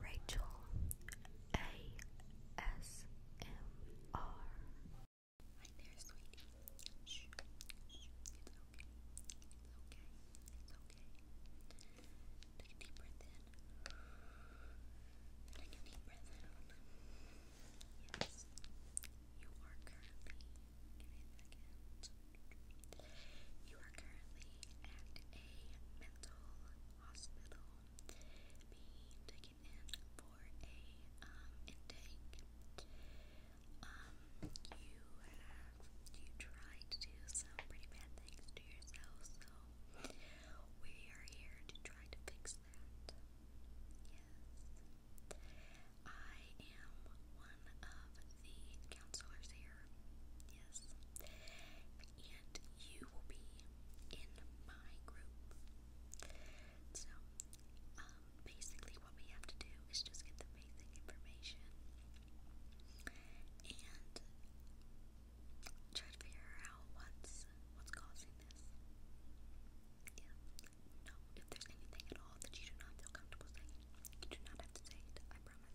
Rachel ASMR. Right there, sweetie. Shh, shh. It's okay. It's okay. It's okay. Take a deep breath in. Take a deep breath out. Yes. You are currently. Give me a second. You are currently at a mental hospital being taken in for a intake. Um, you have you tried to do some pretty bad things to yourself, so we are here to try to fix that. Yes. I am one of the counselors here yes. And you will be in my group. So, um, basically, what we have to do is just get the basic information and try to figure out what's what's causing this. Yeah. No, if there's anything at all that you do not feel comfortable saying, you do not have to say it. I promise.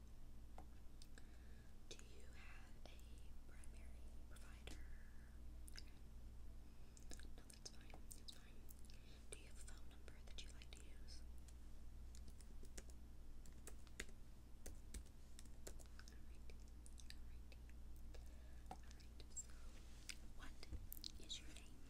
Do you have a primary provider? No, that's fine. Do you have a phone number that you like to use? Alrighty. Alrighty. Alright, so what is your name?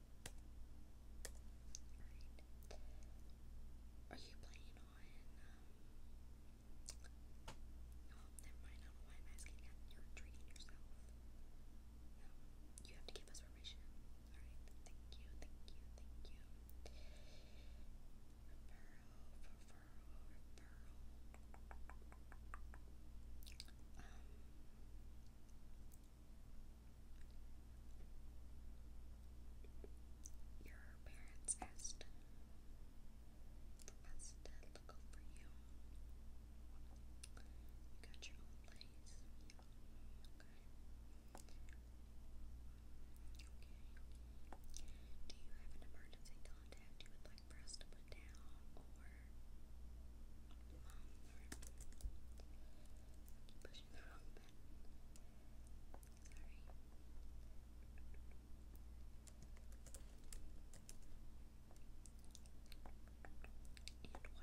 Are you planning on, um, oh, never mind, I don't know why I'm asking You're treating yourself. No, you have to give us permission. Alright, thank you, thank you, thank you. Referral, referral, referral. Um, your parents asked the best dad look out you. You got your own place, okay? Okay. Do you have an emergency contact you would like for us to put down, and what is our number? Thank you, thank you, thank you, thank you.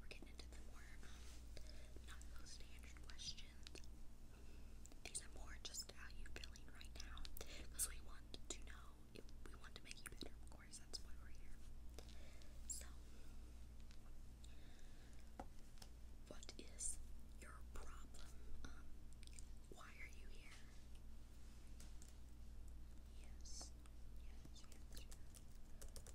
Alright, so here we're getting into the more, um, standard questions questions. These are more just how you're feeling right now. Because we want to know if we want to make you better, of course, that's why we're here. So what is your problem? Um, why are you here? Yes. Yes, yes, yes.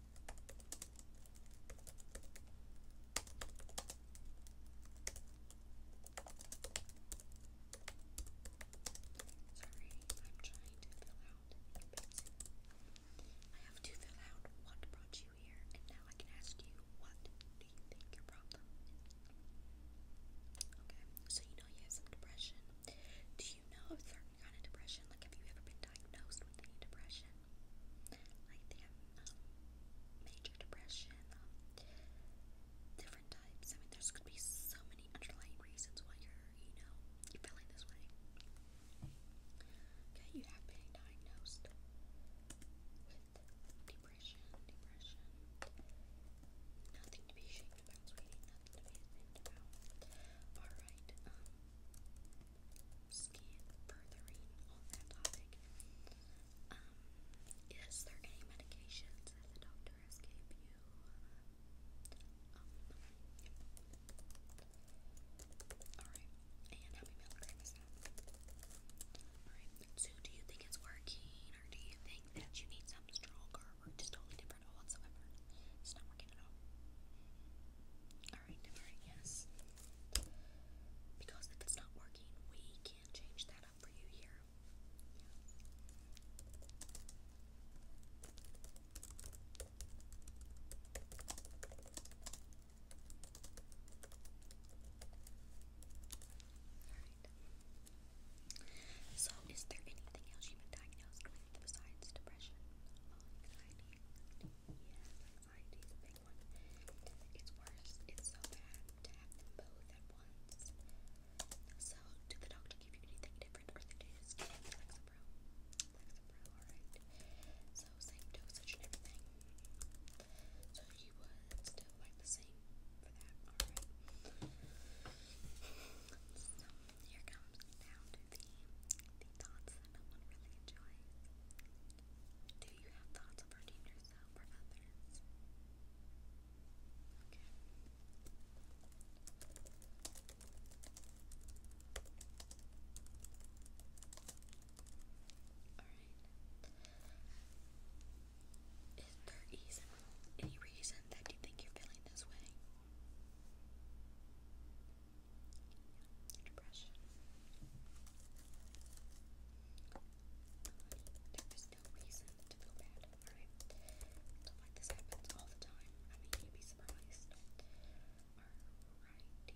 Sorry, I'm trying to fill out I have to fill out what brought you here, and now I can ask you what do you think your problem Okay, so you know you have some depression. Do you know if kind of depression? Like, have you ever been diagnosed with any depression? Like, um, major depression, um, different types. I mean, there's could be so many underlying reasons why you're, you know, you're feeling this way. Okay, you have been diagnosed with depression, depression. Nothing to be ashamed from sweetie, nothing to be ashamed about. that topic. Um, is there any medications that the doctor has gave you? Alright, and how many milligrams Alright, so do you think it's working, or do you think that you need something stronger, or just totally different whatsoever. It's not working at all. Alright, alright, yes. Because if it's not working, we can change that up for you here. Alright. So, is there anything else you've been diagnosed with besides depression? anxiety? Yeah, anxiety is big one. It's worse. It's so bad both at once. So, did the doctor give you anything different, or did they Lexapro? Lexapro, alright. So, same dosage and everything. So, you would still like the same for that, alright here comes down to the, the thoughts that no one really enjoys. Do you have thoughts of hurting yourself or others? Okay. Alright. Is there easy, any reason reason that you think you're feeling this way. depression. There is no reason to feel bad, alright? Stuff like this happens all the time. I mean, you'd be surprised. Alrighty, alrighty. So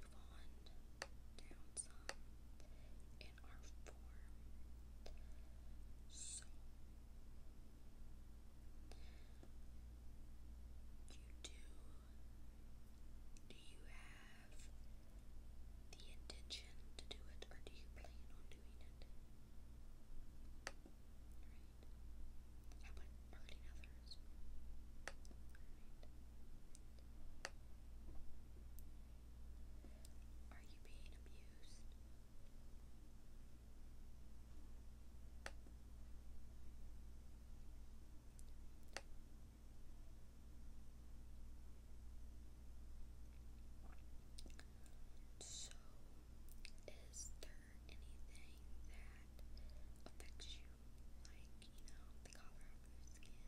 let's move on down in our form. So, you do, do you have the intention to do it or do you plan on doing it? Right. How about hurting others? Right. Are you being abused? So, is there anything that affects you? Like, you know, the color your, your, your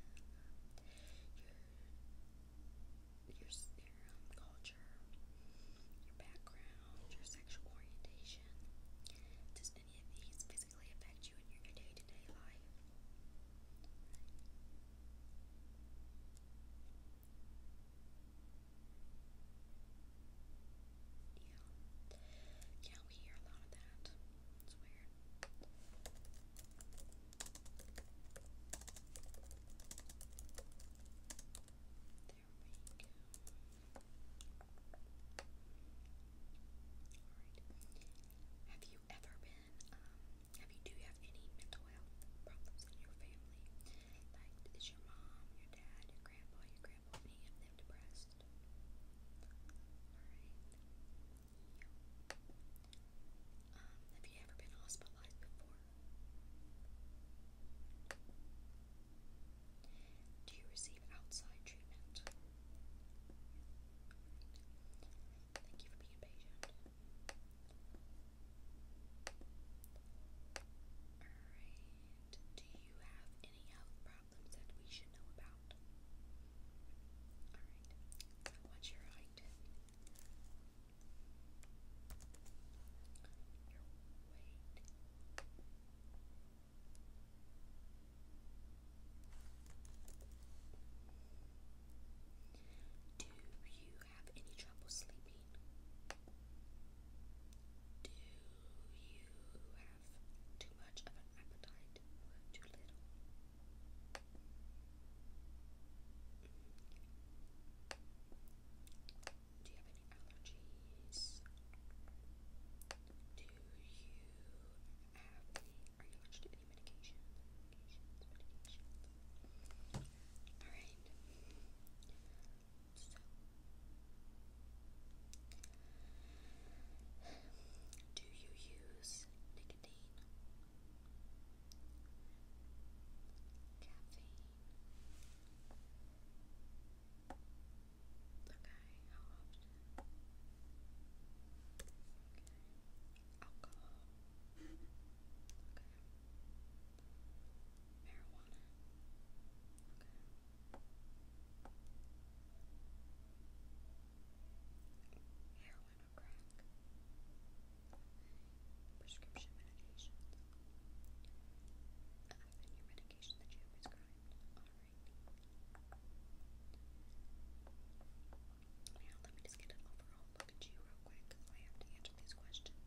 culture, your background, your sexual orientation. Does any of these physically affect you in your day to day life? Yeah. Yeah, we hear a lot of that. That's Have you ever been, um, have you, do you have any mental health problems in your family? Like, is your mom, your dad, your grandpa, your grandpa, any of them depressed? have you ever been hospitalized before? Do you receive outside treatment? Thank you for being patient. Alright, do you have any health problems? problems that we should know about. Alright, what's your height? Your weight? Do you have any trouble sleeping? Do you have too much of an appetite or too little. Do you have any allergies? Do you have Are you allergic to any medications? Alright. Do you use nicotine? Caffeine? Okay, how often? Okay. Alcohol? Okay. Marijuana? Okay. Heroin crack. Prescription medications. Other than medication that you have prescribed. Now let me just get an overall look at you real quick because I answer these questions.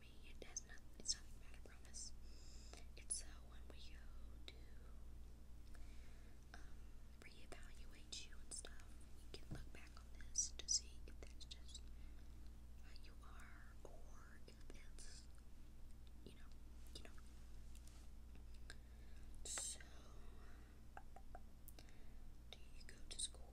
for me. It does not. It's nothing bad. I promise. It's uh, when we go to um, reevaluate you and stuff. You can look back on this to see if that's just how you are, or if it's you know, you know. So, do you go to school?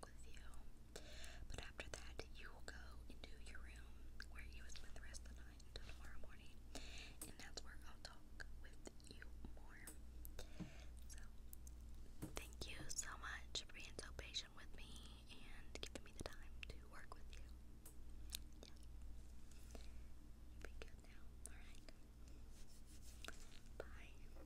with you. But after that, you will go into your room where you will spend the rest of the night tomorrow morning. And that's where I'll talk with you more. So, thank you so much for being so patient with me and giving me the time to work with you. Yeah. Be good now, alright? Bye.